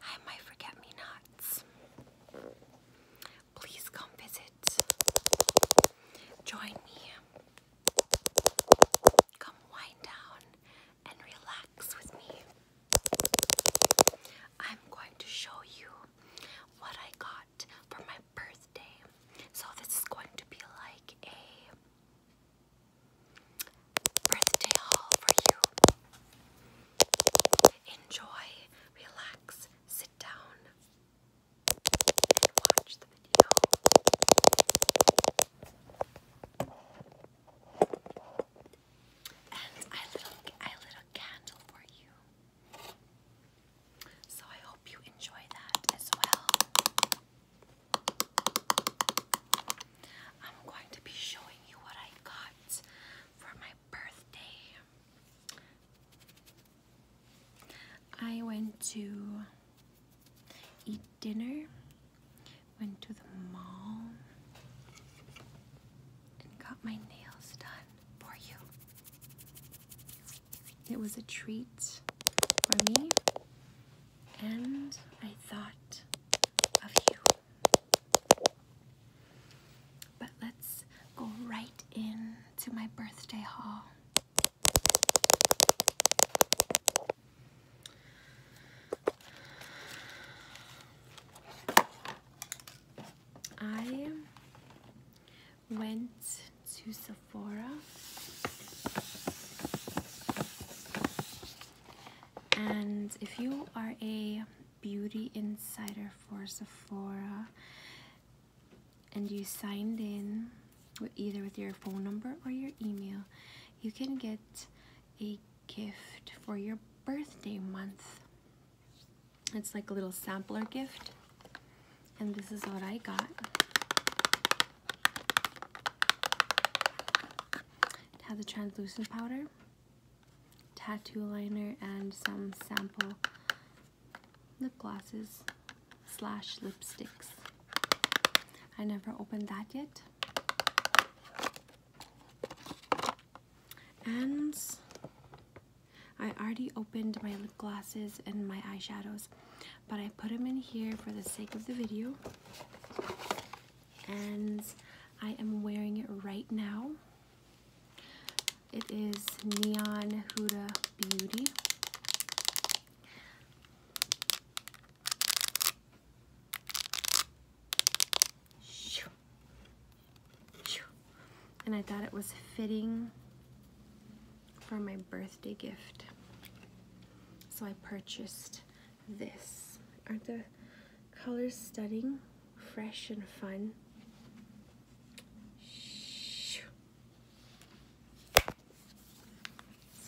Hi, my forget-me-nots. Please come visit. Join me. Come wind down and relax with me. I'm going to show you what I got for my birthday. So this is going to be like a birthday haul for you. Enjoy, relax, sit down, watch the video. And I little I candle for you. So I hope you enjoy that as well. I'm going to be showing you what I got for my birthday. I went to eat dinner, went to the mall, and got my nails done for you. It was a treat for me, and I thought of you. But let's go right in to my birthday haul. I went to Sephora and if you are a beauty insider for Sephora and you signed in with either with your phone number or your email, you can get a gift for your birthday month. It's like a little sampler gift. And this is what I got. It has a translucent powder, tattoo liner, and some sample lip glosses slash lipsticks. I never opened that yet. And I already opened my lip glosses and my eyeshadows, but I put them in here for the sake of the video and I am wearing it right now. It is Neon Huda Beauty. And I thought it was fitting for my birthday gift. So I purchased this. Aren't the colors stunning? Fresh and fun.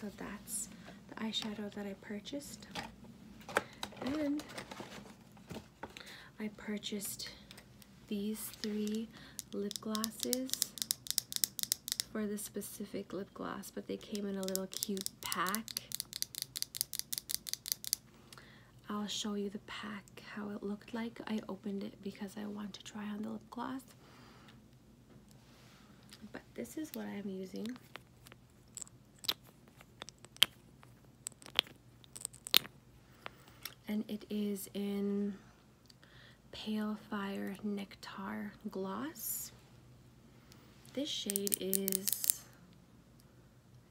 So that's the eyeshadow that I purchased. And I purchased these three lip glosses for this specific lip gloss, but they came in a little cute pack. I'll show you the pack, how it looked like. I opened it because I want to try on the lip gloss. But this is what I'm using. And it is in Pale Fire Nectar Gloss. This shade is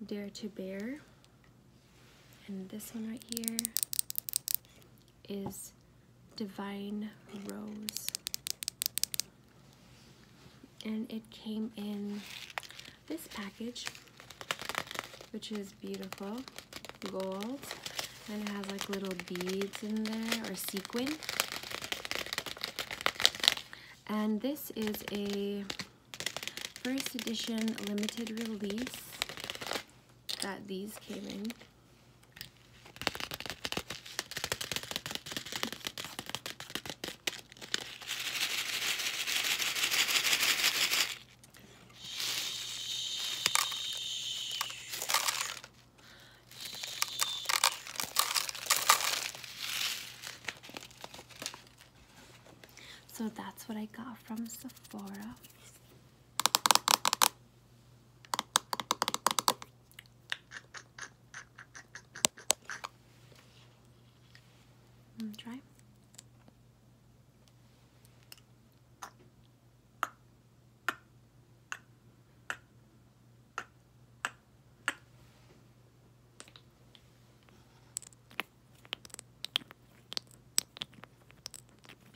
Dare to Bear. And this one right here is Divine Rose. And it came in this package, which is beautiful, gold, and it has like little beads in there, or sequin. And this is a first edition limited release that these came in. So that's what I got from Sephora. try.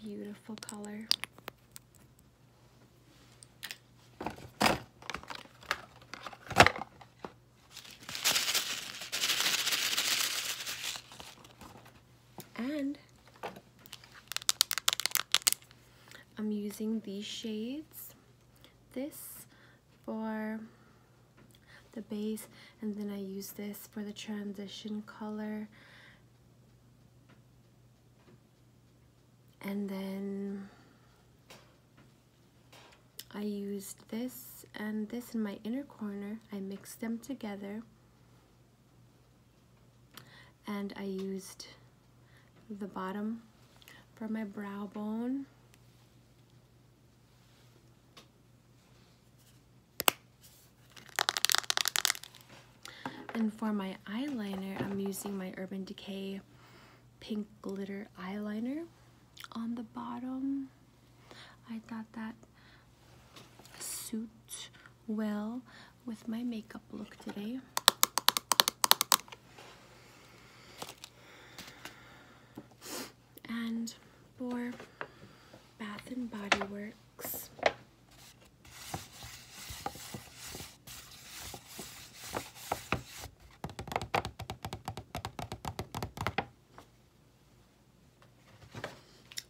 Beautiful color. And I'm using these shades, this for the base, and then I use this for the transition color. And then I used this and this in my inner corner. I mixed them together and I used the bottom for my brow bone. And for my eyeliner, I'm using my Urban Decay Pink Glitter Eyeliner on the bottom. I thought that suits well with my makeup look today. And for Bath and Body Works,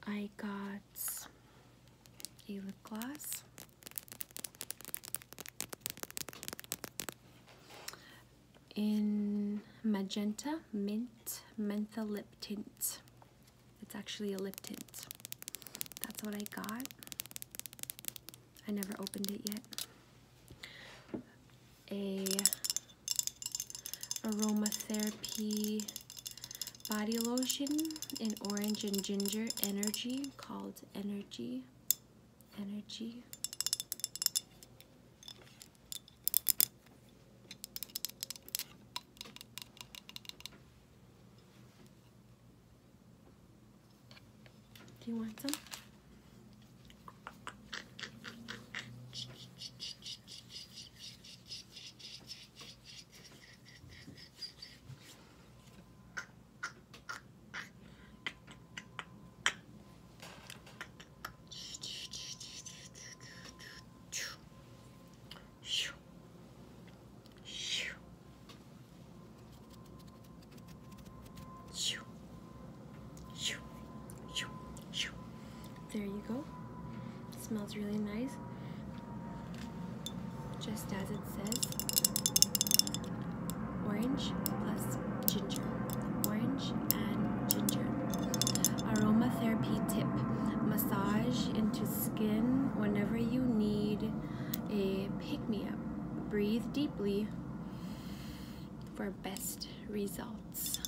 I got a lip gloss in magenta mint menthol lip tint it's actually a lip tint that's what I got I never opened it yet a aromatherapy body lotion in orange and ginger energy called energy energy do you want some there you go. smells really nice just as it says orange plus ginger orange and ginger aromatherapy tip massage into skin whenever you need a pick-me-up breathe deeply for best results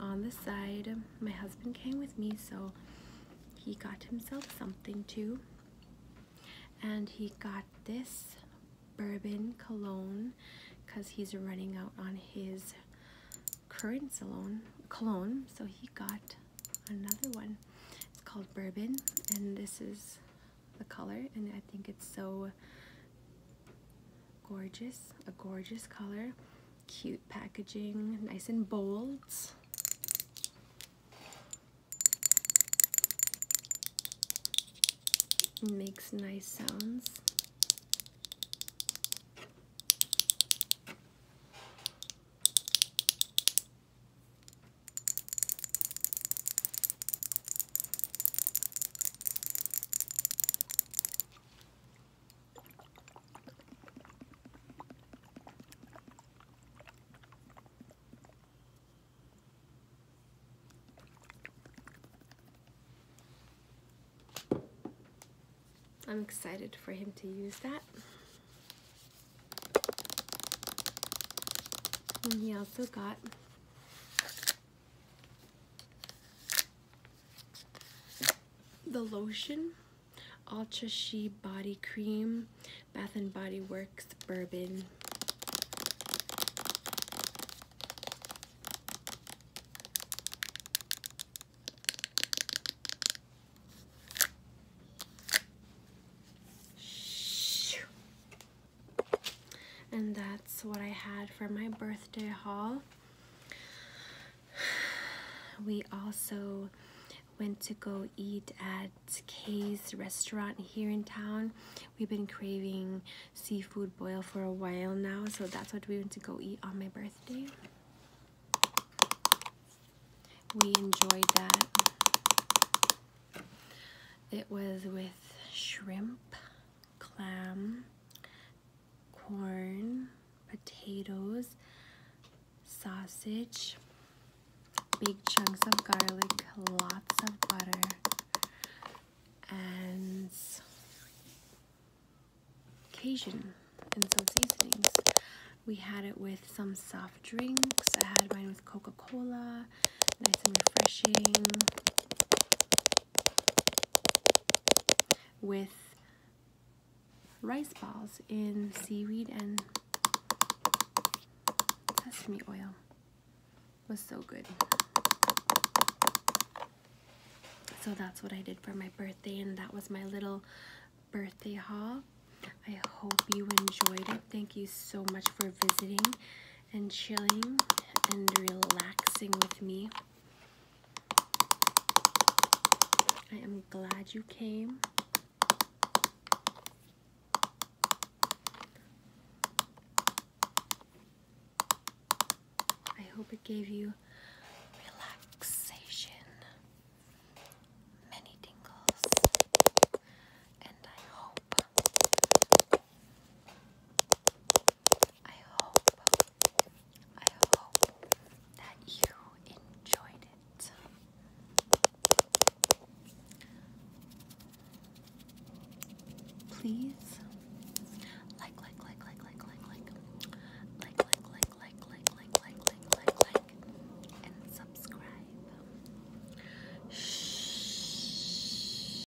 on the side my husband came with me, so he got himself something too. And he got this bourbon cologne because he's running out on his current salon cologne. So he got another one. It's called bourbon, and this is the color, and I think it's so gorgeous, a gorgeous color. Cute packaging, nice and bold. Makes nice sounds. I'm excited for him to use that. he also got the lotion Ultra She Body Cream, Bath & Body Works Bourbon. And that's what I had for my birthday haul. We also went to go eat at Kay's restaurant here in town. We've been craving seafood boil for a while now, so that's what we went to go eat on my birthday. We enjoyed that. It was with shrimp, clam, corn, potatoes, sausage, big chunks of garlic, lots of butter, and Cajun and some seasonings. We had it with some soft drinks. I had mine with Coca-Cola, nice and refreshing with rice balls in seaweed and sesame oil. was so good. So that's what I did for my birthday and that was my little birthday haul. I hope you enjoyed it. Thank you so much for visiting and chilling and relaxing with me. I am glad you came. I hope it gave you relaxation, many tingles, and I hope I hope, I hope that you enjoyed it. Please like, like, like, like, like, like, like, like, like, like, like, like, like, like, like, like, like, and subscribe.